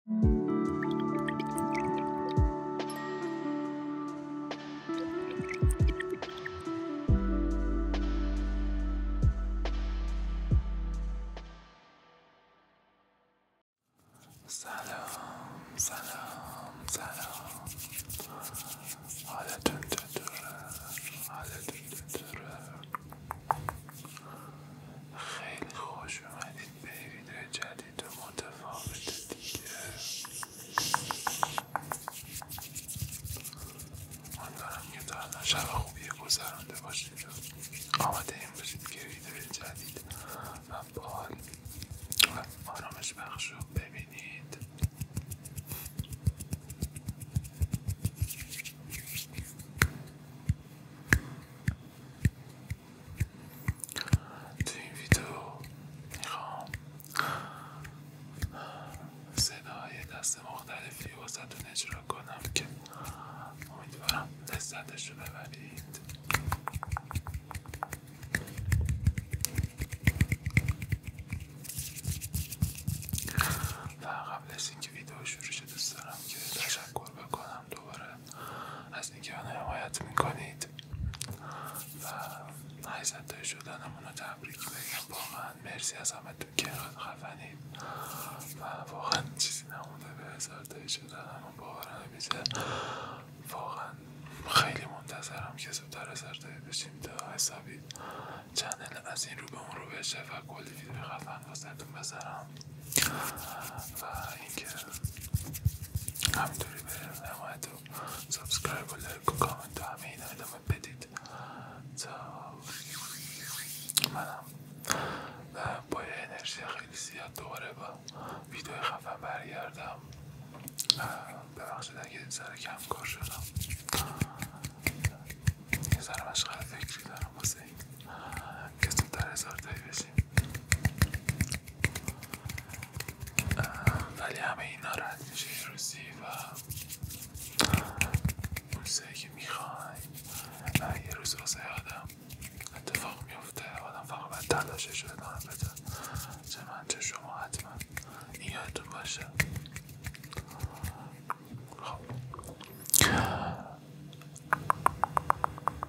سلام سلام سلام حالتون چطوره حالتون چطوره خیلی خوش اومدید پیریدن جدید و متفاوت دیگه امیدوارم که تا الان شب خوبی گذرانده باشید و آماده این باشید که ویدیو جدید و بال و آرامش بخش رو ببینید تو این ویدیو میخوام صدای دست مختلفی واسهتون اجرا کنم که امیدوارم لذتش رو ببرید و قبل از اینکه ویدیو شروع شده دوست دارم که تشکر بکنم دوباره از اینکه من حمایت میکنید و هیزتای شدنمون رو تبریک بگم واقعا مرسی از همه تو که خفنید و واقعا چیزی نمونده به هزارتای شدنمون باور نمیشه واقعا خیلی منتظرم که زودتر هزارتایی بشیم تا حسابی چنل از این رو به اون رو بشه و کلی فیلم خفن واسهتون بذارم و اینکه همینطوری به نمایتو و سابسکرایب و لایک و کامنت و همه اینا ادامه بدید تا منم با انرژی خیلی زیاد دوره با ویدیو خفن برگردم ببخشید اگه سر کم کار شدم یه سر فکری دارم واسه این کسی در هزار تایی بشیم ولی همه این ناراحت میشه این روزی و موسیقی که میخوای یه روز واسه آدم اتفاق میفته آدم فقط باید تلاشش رو ادامه چه من چه شما حتما این یادتون باشه خب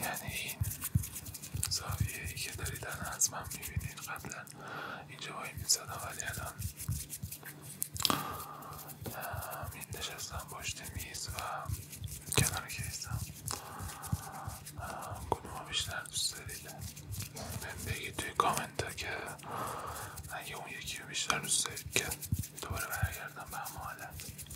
یعنی این زاویه ای که دارید الان از من میبینید قبلا اینجا وای میزدم ولی الان می نشستم پشت میز و کنار کیسم کدوم بیشتر دوست دارید بگید توی کامنت ها که اگه اون یکی رو بیشتر دوست دارید که دوباره برگردم به همه حالت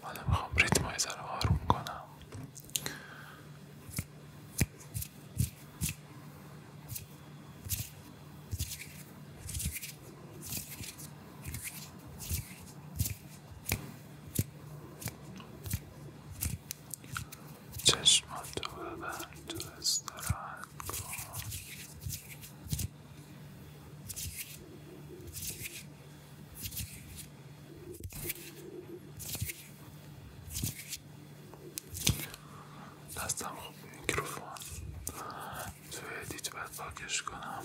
حالا میخوام ریتم های ذره آروم کنم چشماتو ببند و استراحت کن دستم خوب میکروفون توی ادیت باید پاکش کنم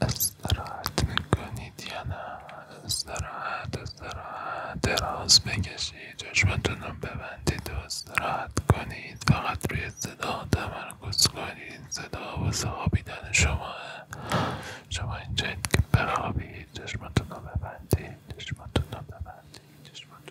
استراحت کنید یا استراحت استراحت دراز بکشید چشمتون رو ببندید و استراحت کنید فقط روی صدا تمرکز کنید صدا واسه خوابیدن شما شما اینجایید که بخوابید چشمتون رو ببندید چشمتون رو ببندید چشمتون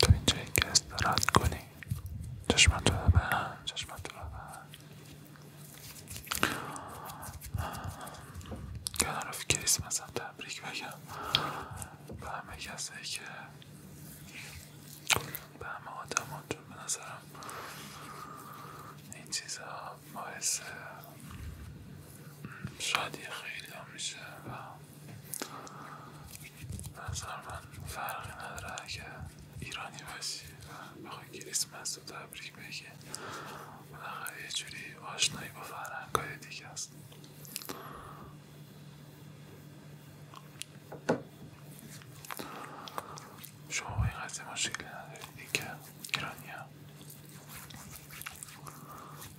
تو اینجایی که استراحت کنی چشمتو ببن چشمتو ببن کنار کریسمس هم تبریک بگم به همه کسه که به همه تو به نظرم این چیزها باعث شادی خیلی میشه و نظر من فرقی نداره که ایرانی باشی و بخوای که اسمت رو تبریک بگی بالاخره یه جوری آشنایی با فرهنگهای دیگه است شما با این قضیه مشکلی ندارید اینکه ایرانی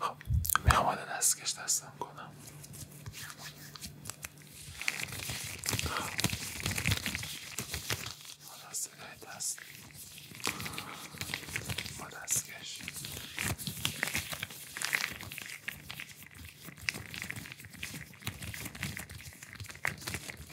خب میخوام حالا دستکش دستم کنم دست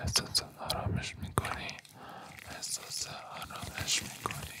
احساس آرامش میکنی احساس آرامش میکنی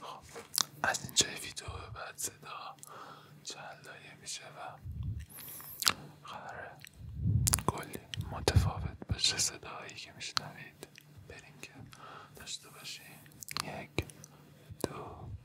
خب از اینجای ویدیو به بعد صدا چند لایه میشه و قراره گلی متفاوت بشه صداهایی که میشنوید بریم که داشته باشیم یک دو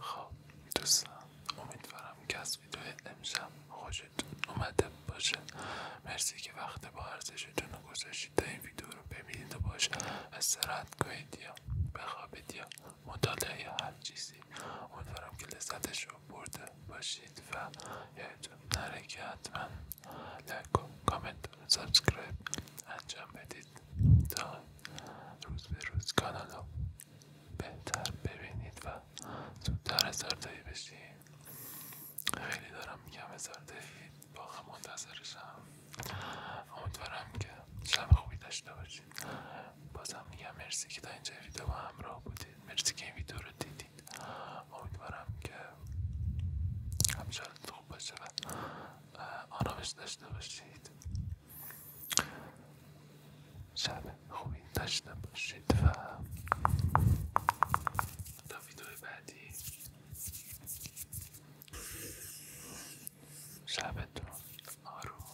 خب دوستان امیدوارم که از ویدیو امشب خوشتون اومده باشه مرسی که وقت با ارزشتون رو گذاشتید تا این ویدیو رو ببینید و از استراحت کنید یا بخوابید یا مطالعه یا هر چیزی امیدوارم که لذتش رو برده باشید و یادتون نره که حتما لایک و کامنت سابسکرایب انجام بدید تا روز به روز کانال بهتر ببینید و زودتر هزار تایی بشی خیلی دارم میگم هزار تایی واقعا منتظرشم امیدوارم که شب خوبی داشته باشید بازم میگم مرسی که دا اینجا ویدیو با همراه بودید مرسی که این ویدیو رو دیدید امیدوارم که همچنان خوب باشه و آرامش داشته باشید شب خوبی داشته باشید و تا ویدیو بعدی شبتون آروم